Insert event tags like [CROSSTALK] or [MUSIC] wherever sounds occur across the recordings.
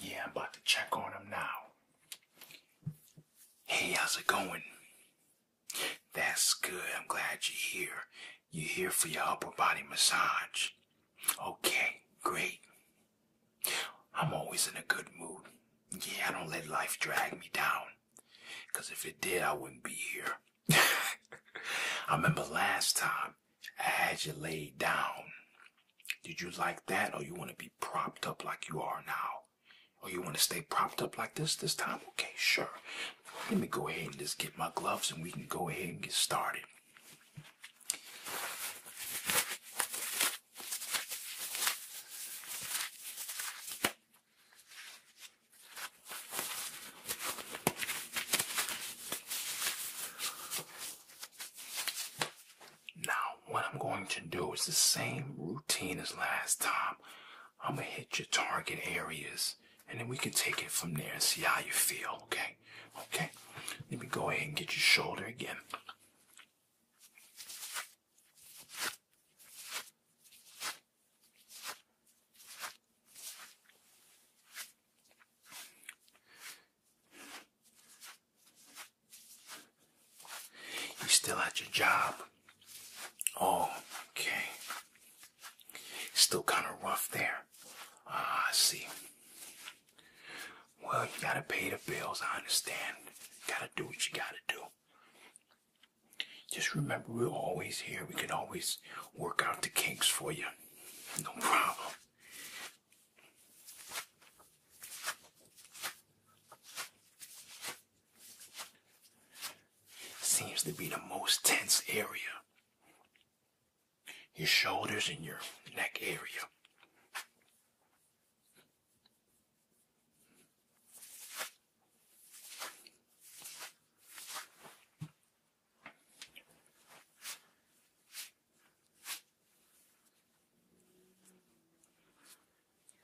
Yeah, I'm about to check on him now. Hey, how's it going? That's good. I'm glad you're here. You're here for your upper body massage. Okay, great. I'm always in a good mood. Yeah, I don't let life drag me down. Because if it did, I wouldn't be here. [LAUGHS] I remember last time as you lay down. Did you like that, or you want to be propped up like you are now? Or you want to stay propped up like this this time? Okay, sure. Let me go ahead and just get my gloves and we can go ahead and get started. Now, what I'm going to do is the same routine as last time. I'm gonna hit your target areas and then we can take it from there and see how you feel, okay? Okay, let me go ahead and get your shoulder again. You still at your job? Oh, okay. Still kind of rough there. Ah, I see. Well, you gotta pay the bills, I understand. You gotta do what you gotta do. Just remember, we're always here. We can always work out the kinks for you. No problem. Seems to be the most tense area. Your shoulders and your neck area.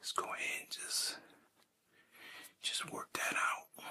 Just go ahead and just just work that out.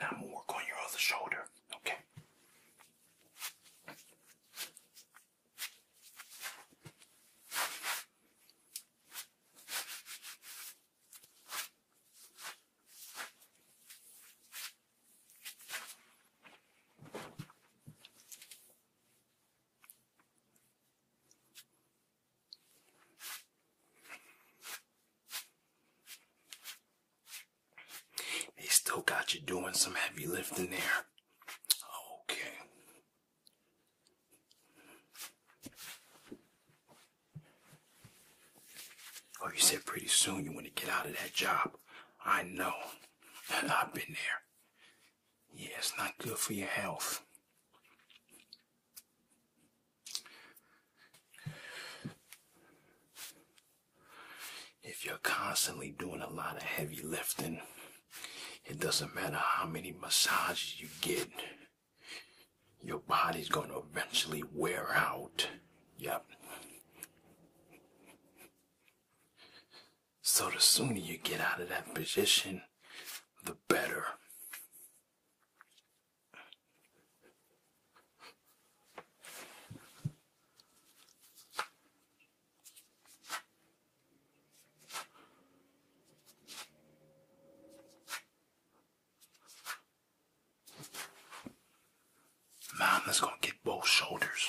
Now I'm gonna work on your other shoulder, okay? They still got you doing some heavy lifting there. Okay. Oh, you said pretty soon you want to get out of that job. I know. [LAUGHS] I've been there. Yeah, it's not good for your health. If you're constantly doing a lot of heavy lifting, it doesn't matter how many massages you get, your body's going to eventually wear out. Yep. So the sooner you get out of that position, the better. Mom is going to get both shoulders.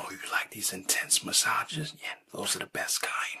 Oh, you like these intense massages? Yeah, those are the best kind.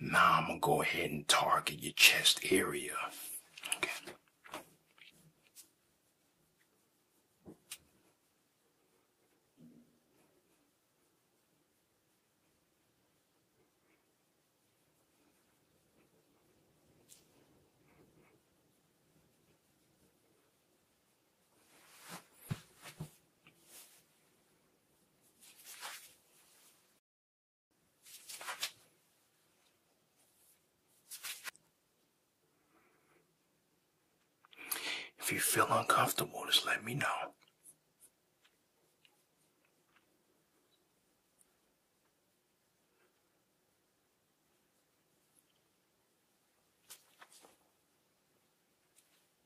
Now I'm gonna go ahead and target your chest area. Okay. If you feel uncomfortable, just let me know.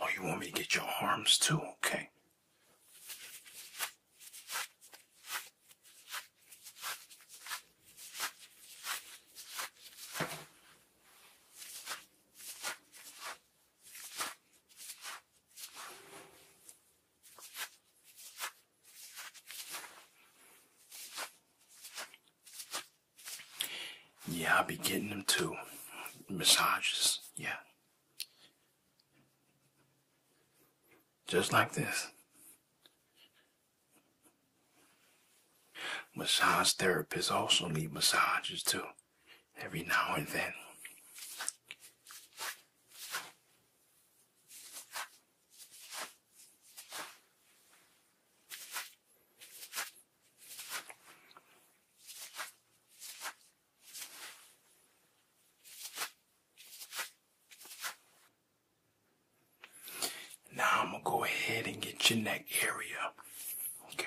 Oh, you want me to get your arms too? Okay. Yeah, I'll be getting them too. Massages, yeah. Just like this. Massage therapists also need massages too every now and then. Now I'm going to go ahead and get your neck area. Okay.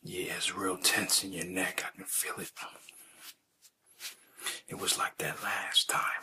Yeah, it's real tense in your neck. I can feel it. It was like that last time.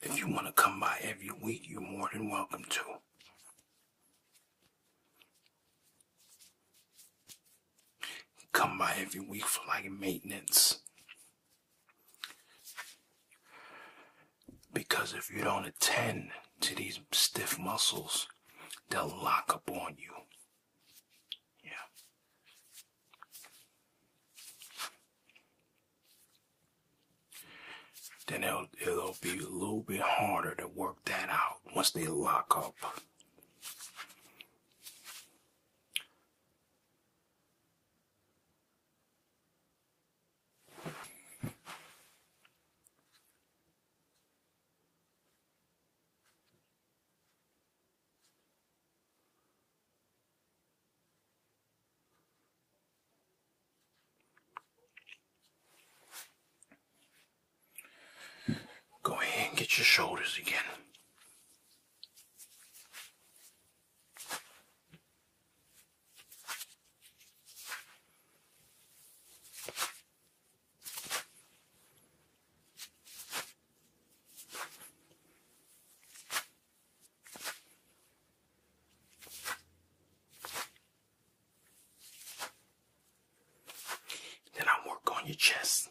If you want to come by every week, you're more than welcome to. Come by every week for like maintenance. Because if you don't attend to these stiff muscles, they'll lock up on you. Yeah. Then it'll, be a little bit harder to work that out once they lock up. Go ahead and get your shoulders again. Then I work on your chest.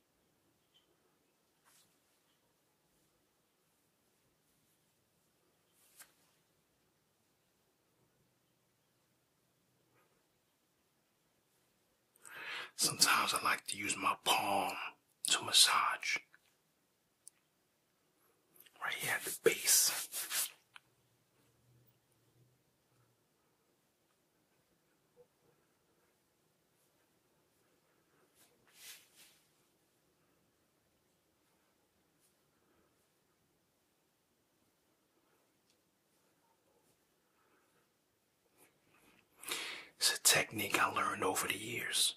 Sometimes I like to use my palm to massage right at the base. It's a technique I learned over the years.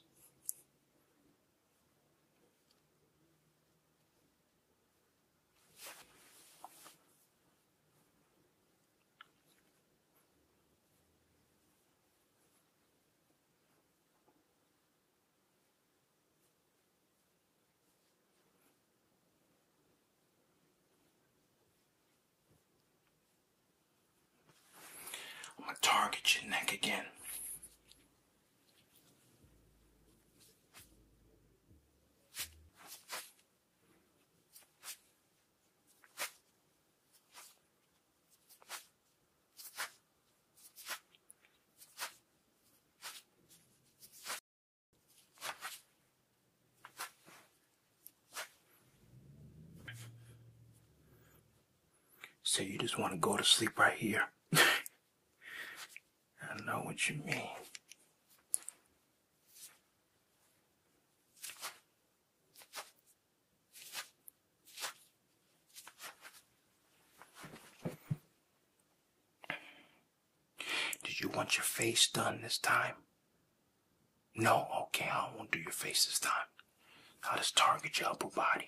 I'm going to target your neck again. So you just want to go to sleep right here. [LAUGHS] I know what you mean. Did you want your face done this time? No, okay, I won't do your face this time. I'll just target your upper body.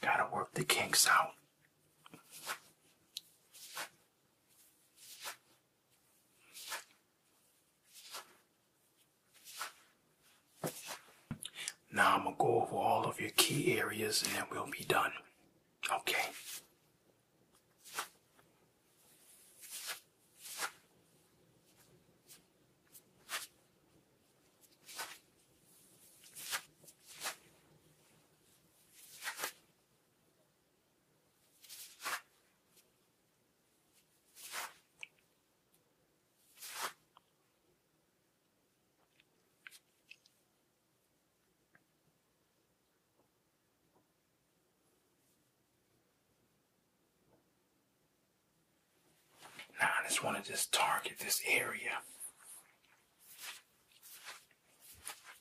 Gotta work the kinks out. Now I'm going to go over all of your key areas and then we'll be done. Okay. Now I just want to just target this area.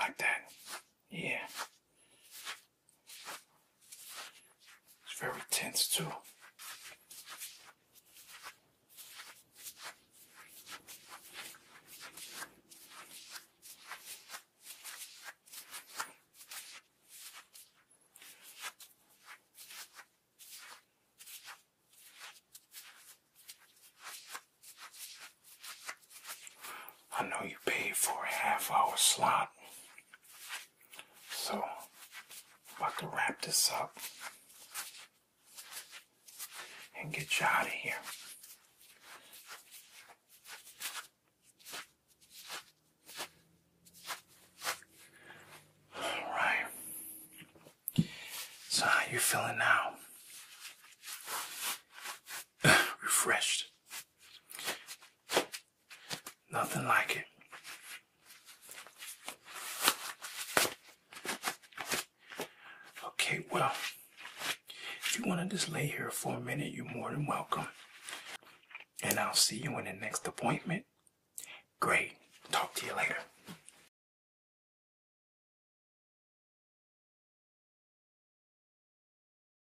Like that, yeah. It's very tense too. I know you paid for a half hour slot. So, I'm about to wrap this up and get you out of here. All right. So, how you feeling now? [SIGHS] Refreshed. Nothing like it. Okay, well, if you want to just lay here for a minute, you're more than welcome. And I'll see you in the next appointment. Great. Talk to you later.